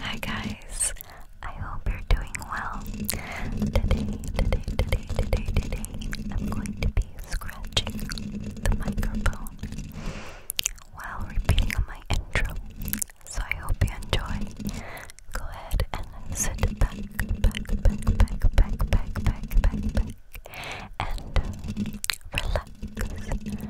Hi guys, I hope you're doing well. Today, today, today, today, today, I'm going to be scratching the microphone while repeating my intro. So I hope you enjoy. Go ahead and sit back, back, back, back, back, back, back, back, and relax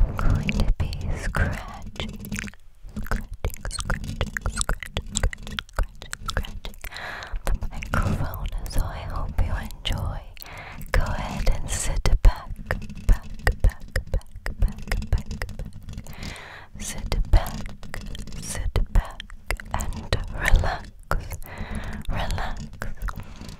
I'm going to be scratching, scratching, scratching, scratching, scratching, scratching, scratching the microphone. So I hope you enjoy. Go ahead and sit back, back, back, back, back, back, back. Sit back, sit back, and relax, relax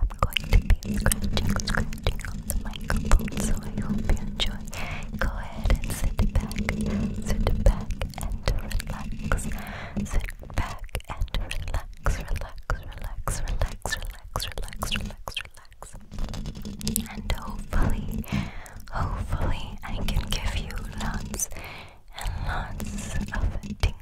I'm going to be scratching, scratching on the microphone, so I hope you enjoy. Go ahead and sit back, sit back and relax. Sit back and relax, relax, relax, relax, relax, relax, relax, relax. And hopefully, hopefully, I can give you lots and lots of tingles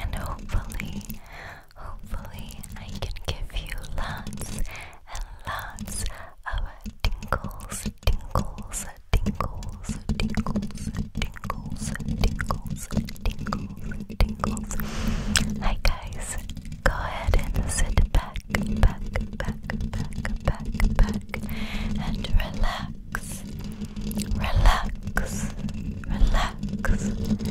And hopefully, hopefully, I can give you lots and lots of tingles, tingles, tingles, tingles, tingles, tingles, tingles, tingles. Hi guys, go ahead and sit back, back, back, back, back, back, and relax, relax, relax,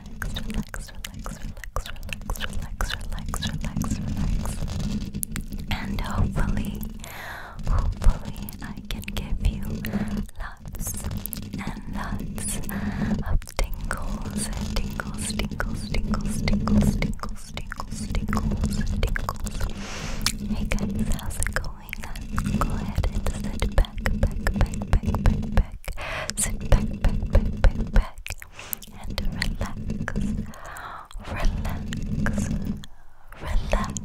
relax, relax, relax, relax, relax, relax, relax, relax, relax. And hopefully, hopefully, I can give you lots and lots of tingles, tingles, tingles, tingles, tingles, tingles, tingles, tingles, tingles. Hey guys, how's it going? Go ahead and sit back, back, back, back, back, back back, sit back, back, back, back, back, and relax, relax, relax, relax,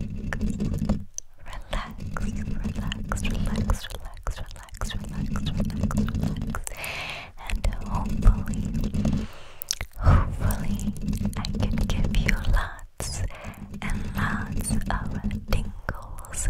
relax, relax, relax, relax, relax, relax, relax, and hopefully, hopefully, I can give you lots and lots of tingles,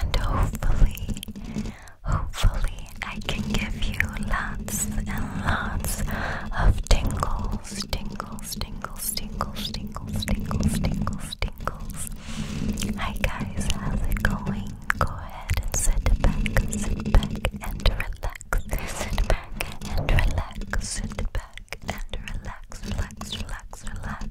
and hopefully, hopefully, I can give you lots and lots of tingles, tingles, tingles, tingles, tingles, tingles, tingles, tingles. Hi guys, how's it going? Go ahead and sit back, sit back and relax. Sit back and relax, sit back and relax, relax, relax, relax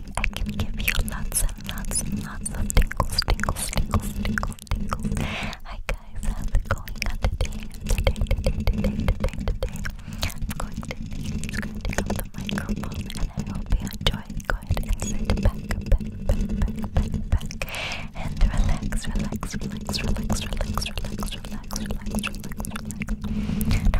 I can give you lots and lots and lots of tingles, tingles, tingles, tingles, tingles. Hi guys, how's it going on today? Today, today, today, today, today. I'm going to be scratching up the microphone and I hope you enjoy. Go ahead and sit back, back, back, back, back, back. And relax, relax, relax, relax, relax, relax, relax, relax, relax, relax, relax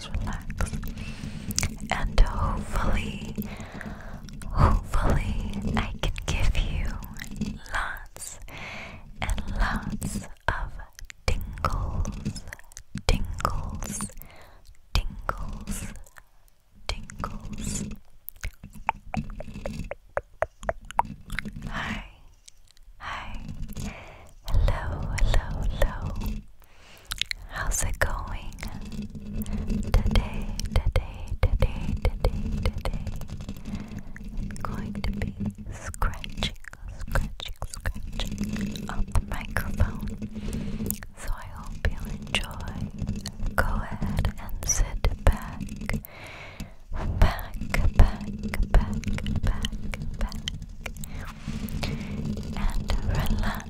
and hopefully, hopefully, I can give you lots and lots of tingles, tingles, tingles, tingles. Hi, hi, hello, hello, hello. How's it going? Today, today, today, today, today. going to be scratching, scratching, scratching on the microphone. So I hope Go ahead and sit back. Back, back, back, back, And Relax,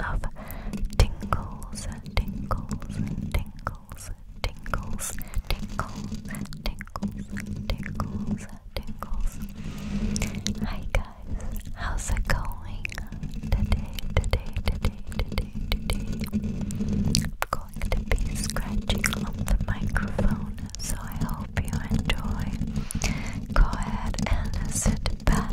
of tingles, tingles, tingles, tingles, tingles, tingles, tingles, tingles. Hi guys, how's it going today, today, today, today, today? going to be scratching the microphone, so I hope you enjoy. Go ahead and sit back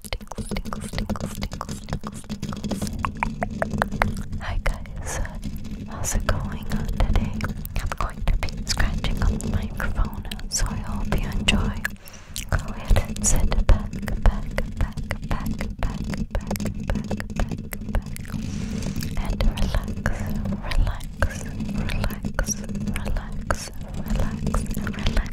tingles, tingles, tingles, tingles, tingles, tingles. Hi guys, uh, how's it going on today? I'm going to be scratching on the microphone, so I hope you enjoy. Go ahead and sit back, back, back, back, back, back, back, back, back, and relax, relax, relax, relax, relax, relax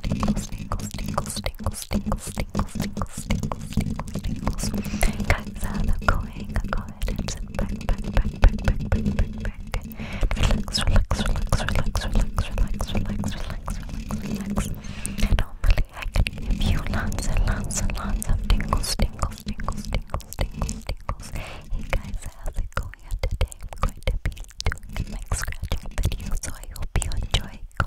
tingles, tingles, tingles, tingles, tingles, tingles, tingles, tingles, tingles, tingles, tingles. Guys, hello, going, go ahead and sit back, back, back, back, back, back, back, back. Relax, relax, relax, relax, relax, relax, relax, relax, relax, relax. Normally, I can give you lots and lots and lots of tingles, tingles, tingles, tingles, tingles, tingles. Hey guys, how's it going? Today I'm going to be doing a mic scratching video, so I hope you enjoy. Go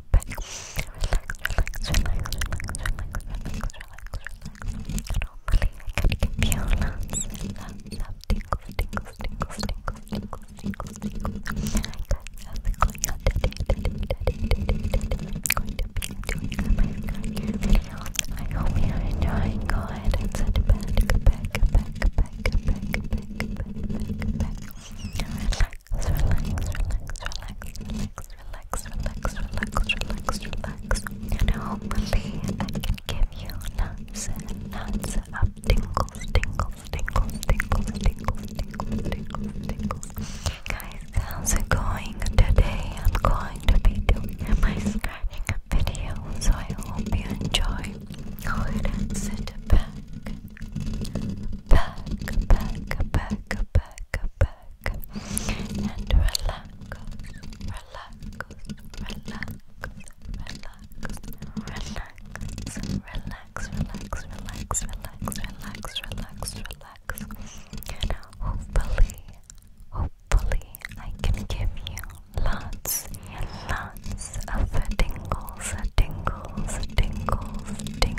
sit back, relax, relax, relax, relax, relax, relax, relax, relax. Normally I can give you lots and lots of tingles, tingles, tingles, tingles, tingles, tingles, tingles. I got nothing going on today, today, today, today, today. I'm going to be doing a makeup video. I hope you're enjoying. Go ahead and sit back, back, back, back, back, back, back, back, back, back. Relax relax, relax, relax, relax, relax, relax, relax, relax. And hopefully I can give you lots and lots of tingles, tingles, tingles, tingles, tingles, tingles, tingles, tingles. Guys, how's it going today? I'm going to be doing my scratching up video, so I hope you enjoy. Go ahead and sit back back, back, back, back, back, and relax, relax, relax, relax, relax, relax, relax, relax, relax, relax, relax, relax. And hopefully, hopefully, I can give you lots and lots of tingles, tingles, tingles, tingles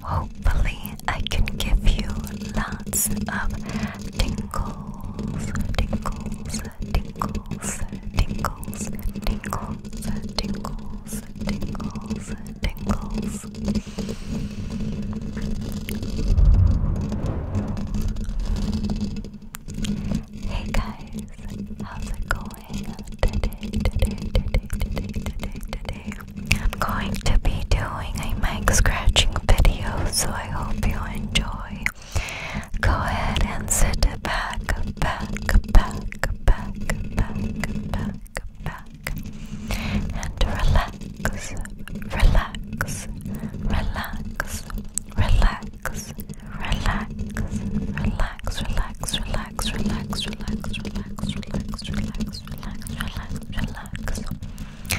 hopefully, I can give you lots of tingles, tingles, tingles, tingles, tingles, tingles, tingles, tingles. Hey guys, how's it going? today, today, today, today, today, today. I'm going to be doing a mic scratching video, so I hope you enjoy. Go ahead and sit back, back, back, back, back, back, back, and relax, relax, relax, relax, relax, relax relax, relax, relax, relax, relax, relax, relax, relax, relax, relax, relax.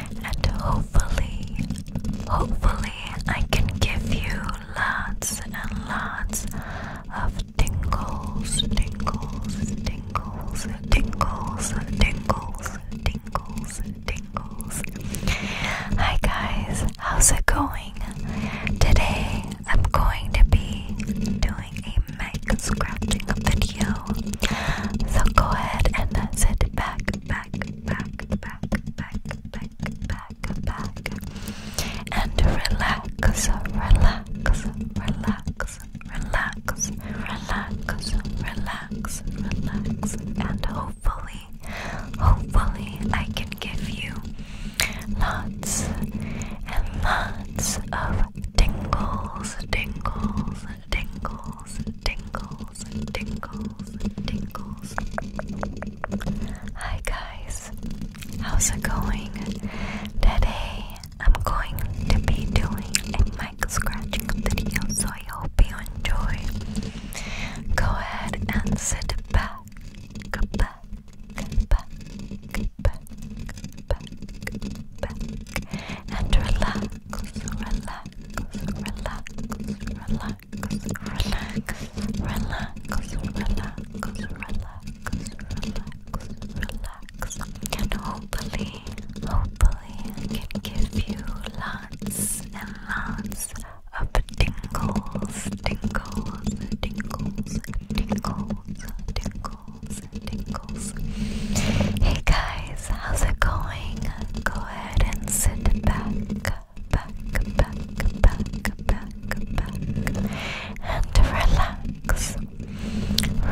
And hopefully, hopefully, I can give you lots and lots of tingles, tingles, tingles, tingles, tingles, tingles, tingles. Hi guys, how's it going? Today I'm going to be doing a mic scratching video. So go ahead and sit back, back, back, back, back, back, back, back, and relax, relax, relax, relax, relax, relax, relax, and hopefully, hopefully, I can give you Lots and lots of tingles, tingles, tingles, tingles, tingles, tingles. Hi guys, how's it going? Today I'm going to be doing a mic scratching video, so I hope you enjoy. Go ahead and sit back, back, back, back, back, back, and relax, relax, relax, relax, relax, relax, relax, relax, relax, relax, and hopefully, hopefully, I can give you lots and lots of tingles, tingles, tingles, tingles, tingles tingles, tingles. Hey guys, how's it going? Go ahead and sit back, back, back, back, back, back, and relax,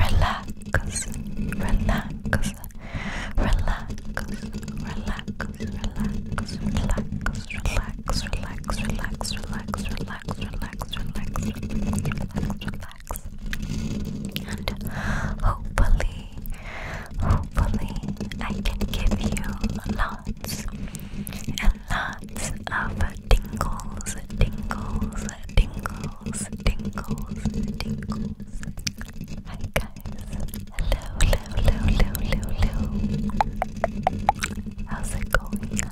relax, relax. Relax, relax, relax, relax, relax, relax, relax, relax, relax, relax, relax, relax, relax, relax. And hopefully, hopefully, I can give you lots and lots of tingles, tingles, tingles, tingles, tingles. Hi guys, hello, hello, hello, hello, hello. How's it going?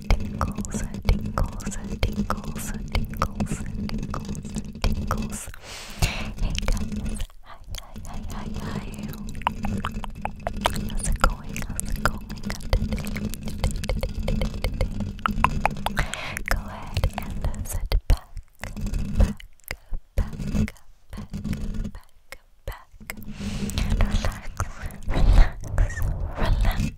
tingles, tingles, tingles, tingles, tingles, tingles. Hey guys, hi, hi, hi, hi, hi. How's it going? How's it going today? Today, today, today, today. Go ahead and sit back, back, back, back, back. Back, back, relax, relax, relax,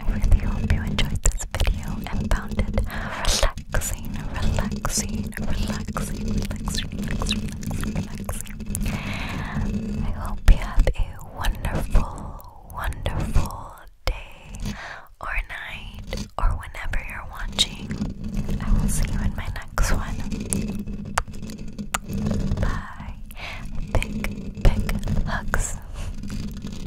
I really hope you enjoyed this video and found it relaxing, relaxing, relaxing, relaxing, relaxing, relaxing. I hope you have a wonderful, wonderful day or night or whenever you're watching. I will see you in my next one. Bye. Big, big hugs.